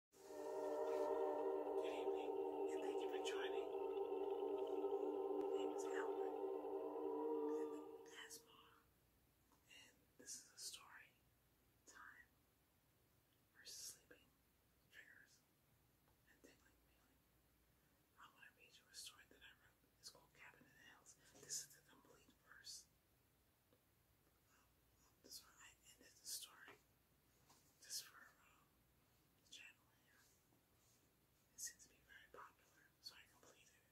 Good evening, and thank you for joining. My name is Albert, and and this is a story time for sleeping, triggers, and tingling feeling. I'm to read you a story that I wrote. It's called Cabin in the Hills. This is the complete verse um, this one I ended the story. This for uh, um, channel here. It seems to be very popular, so I completed it.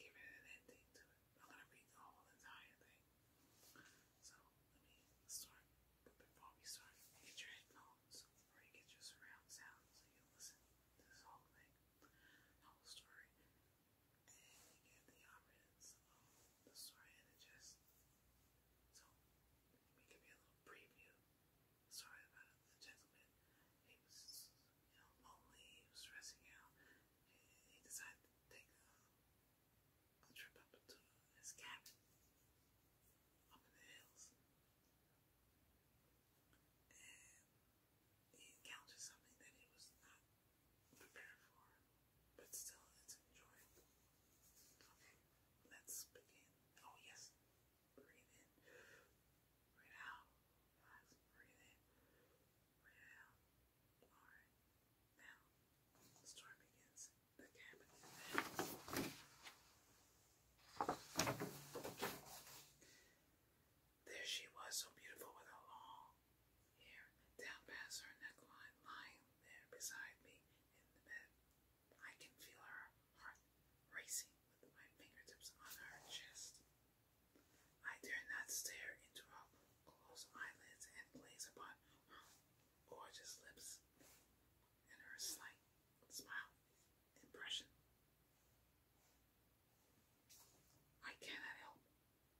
Give it an ending to it. I'm gonna read the whole entire thing. So let me start. before we start, get your headphones or you get your surround sound so you listen this whole thing, whole story, and get the options of the story and just so, let give you a little preview. Sorry about the gentleman. He was, you know, lonely. He was stressing out. He, decided to take a, trip up to his cabin up in the hills. And he encountered something that he was not prepared for but still it's enjoyable. Okay, let's begin. Oh yes, breathe in, breathe out, breathe in, breathe out. All right, now the story begins. The cabin There she was, so beautiful with her long hair down past her neckline, lying there beside me in the bed. I can feel her heart racing with my fingertips on her chest. I dare not stare into her closed eyelids and gaze upon her gorgeous lips and her slight smile impression. I cannot help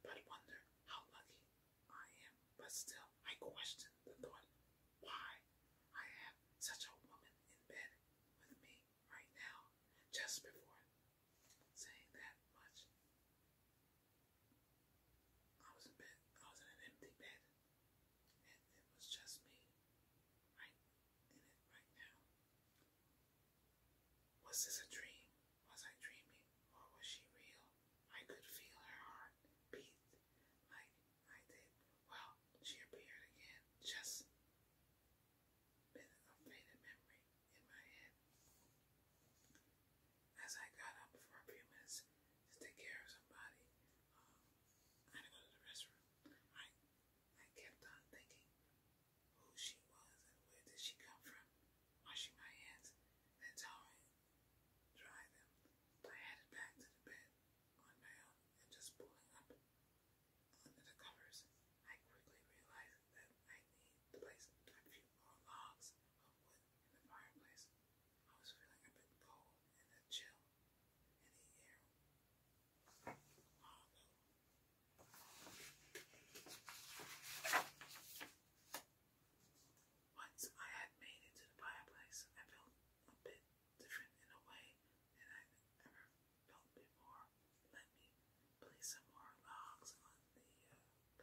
but wonder how lucky I am, but still I question the thought why I have such a woman in bed with me right now, just before saying that much. I was in bed, I was in an empty bed, and it was just me right in it right now. Was this a dream? Was I dreaming, or was she real? I could feel her heart beat like I did. Well, she appeared again, just a faded memory in my head. As I got up for a few minutes to take care of somebody, um, I had to go to the restroom. I, I kept on thinking who she was and where did she come from, washing my hands, then towering dry them. I headed back to the bed on my own and just pulling up under the covers, I quickly realized that I needed to place a few more logs of wood in the fireplace. I was feeling a bit cold and a chill in the air. Once I had made it to the fireplace, I felt a bit different in a way than i ever felt before. Let me place some more logs on the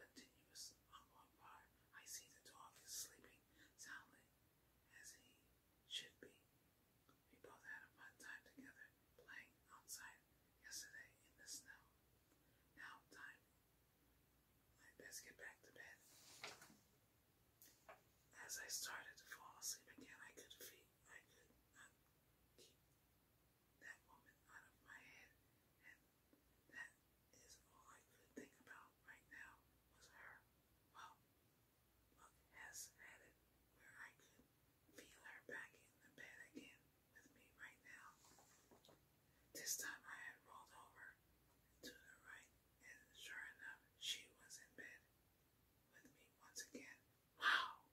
uh, continuous ongoing fire. I see the dog is sleeping soundly, as he should be. We both had a fun time together playing outside yesterday in the snow. Now time I best get back to bed. As I started to fall asleep again, I could feel I could keep that woman out of my head, that is all I could think about right now was her. Well, luck has had where I could feel her back in the bed again with me right now. This time I had rolled over to the right, and sure enough, she was in bed with me once again. Wow!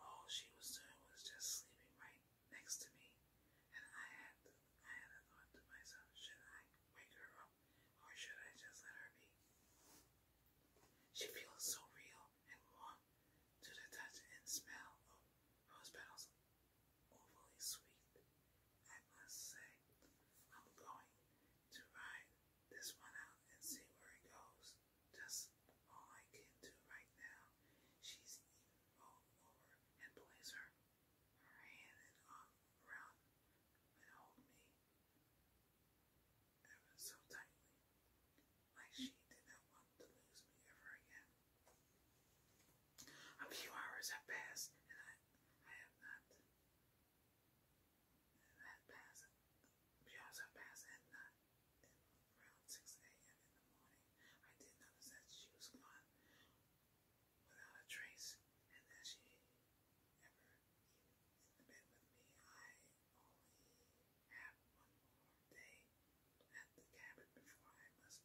All she was doing was just sleeping right next to me, and I had I had a thought to myself: should I wake her up, or should I just let her be? She feels so real and warm to the touch and smell of rose petals overly sweet, I must say. I'm going to ride this one out and see where it goes. Just all I can do right now. She's even rolled over and placed her, hand and arm around and hold me ever so tightly, like she did not want to lose me ever again. A few hours have passed, and I, have not. That passed. hours have passed, and not. around 6 a.m. in the morning, I did notice that she was gone without a trace, and that she ever in the bed with me. I only have one more day at the cabin before I must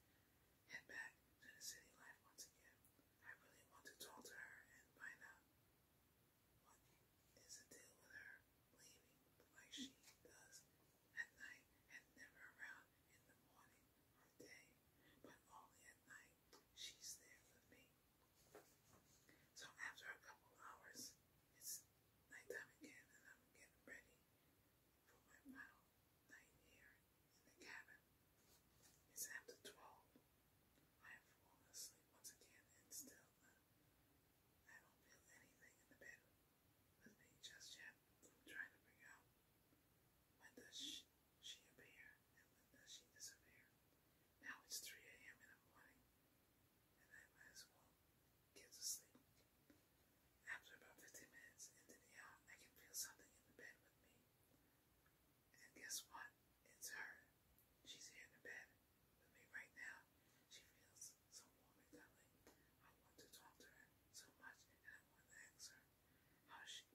head back to the city life once again. I really want to talk to her and find out what is the deal with her leaving like she does at night and never around in the morning or day, but only at night she's there with me. So after a couple hours, it's nighttime again and I'm getting ready for my final night here in the cabin. It's after twelve. I have fallen asleep once again, and still I don't feel anything in the bed with me just yet. trying to figure out when does she, she appear and when does she disappear. Now it's 3 a.m. in the morning, and I might as well get to sleep. After about fifteen minutes into the yacht, I can feel something in the bed with me. And guess what? It's her. She's here in the bed with me right now. She feels so warm and I want to talk to her so much, and I want to ask her how she,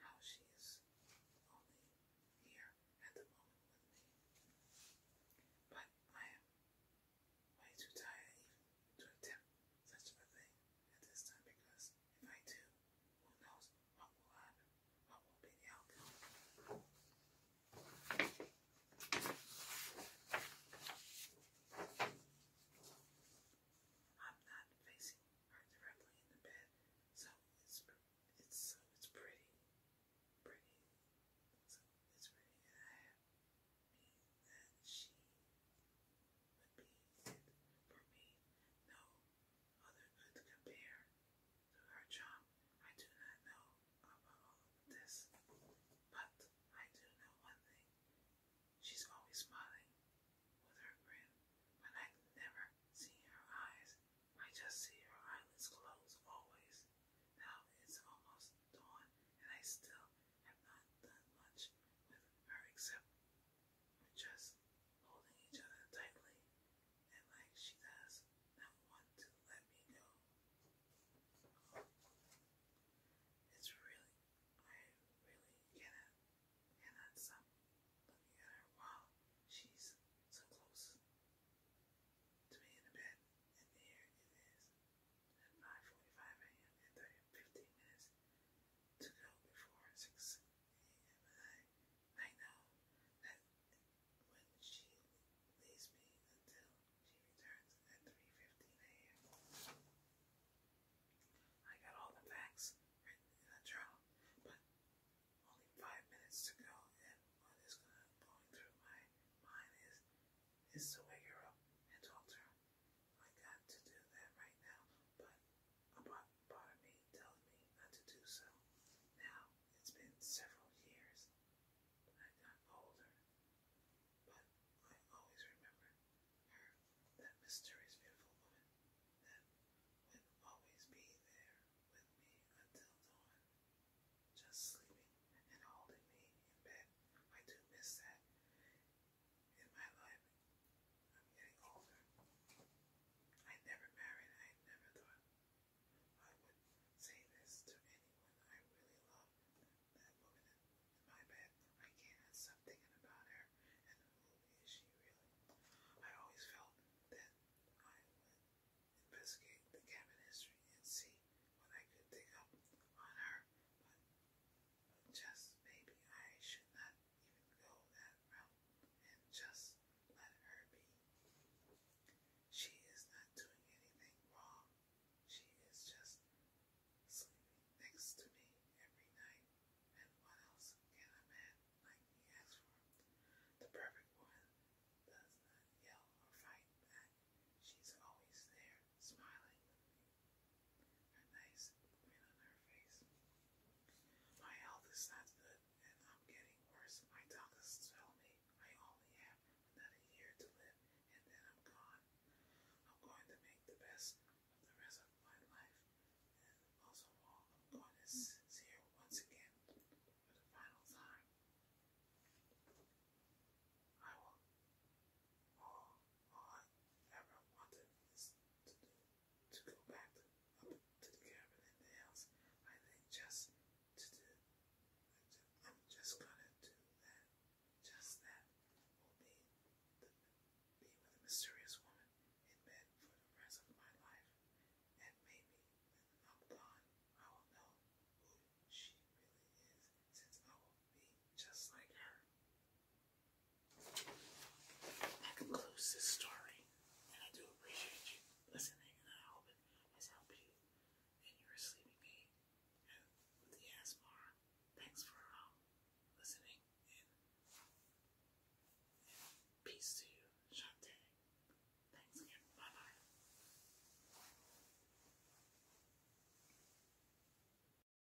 how she is only here at the moment with me. But I am way too tired to attempt such a thing at this time because if I do, who knows what will happen, what will be the outcome. I'm not facing her directly in the bed, so it's it's so it's pretty, pretty, so it's pretty, and I that she would be for me. No other could compare to her charm. I do not know about this, but I do know one thing. She's always smiling with her grin, but I never see her eyes. I just see her eyelids close always. Now it's almost dawn, and I still have not done much with her except just holding each other tightly and like she does not want to let me go. It's really, I really cannot, cannot stop looking at her while she's so close to me in the bed. And here it is at 5.45 a.m. and 30, minutes to go before 6 a.m. I, know that when she leaves me until she returns at 3.15 a.m. I got all the facts written in a journal, but only five minutes to go, and what is going, going through my mind is, is to wake her up and talk to her. I got to do that right now, but a part of me tells me not to do so. Now, it's been several years. I got older, but I always remember her, that mysterious, beautiful woman that would always be there with me until dawn, just sleeping and holding me in bed. I do miss that in my life. I'm getting older. I never married. I never thought I would say this to anyone I really love. That woman in, my bed, I can't stop thinking about her and who is she really? I always felt that I would investigate the cabin history and see what I could dig up on her, just maybe I should not even go that route and just let her be. She is not doing anything wrong. She is just sleeping next to me every night. And what else can a man like me ask for? The perfect woman does not yell or fight back. She's always there smiling, a nice grin on her face. My health is not good, and I'm getting worse. My doctors tell me I only have another year to live, and then I'm gone. I'm going to make the best of the rest of my life, and most I'm going to see her once again for the final time. I will all I ever wanted is to do to go back to, up to the cabin in the house. I think just to do, I'm just gonna do that. Just that will be the, be with a mysterious woman in bed for the rest of my life, and maybe when I'm gone, I will know who she really is, since I will be just like her. That concludes this story, and I do appreciate you listening, and I hope it has helped you in your sleeping aid and with the ASMR. Thanks for um, listening, and, peace to you, Shante. Thanks again. Bye bye.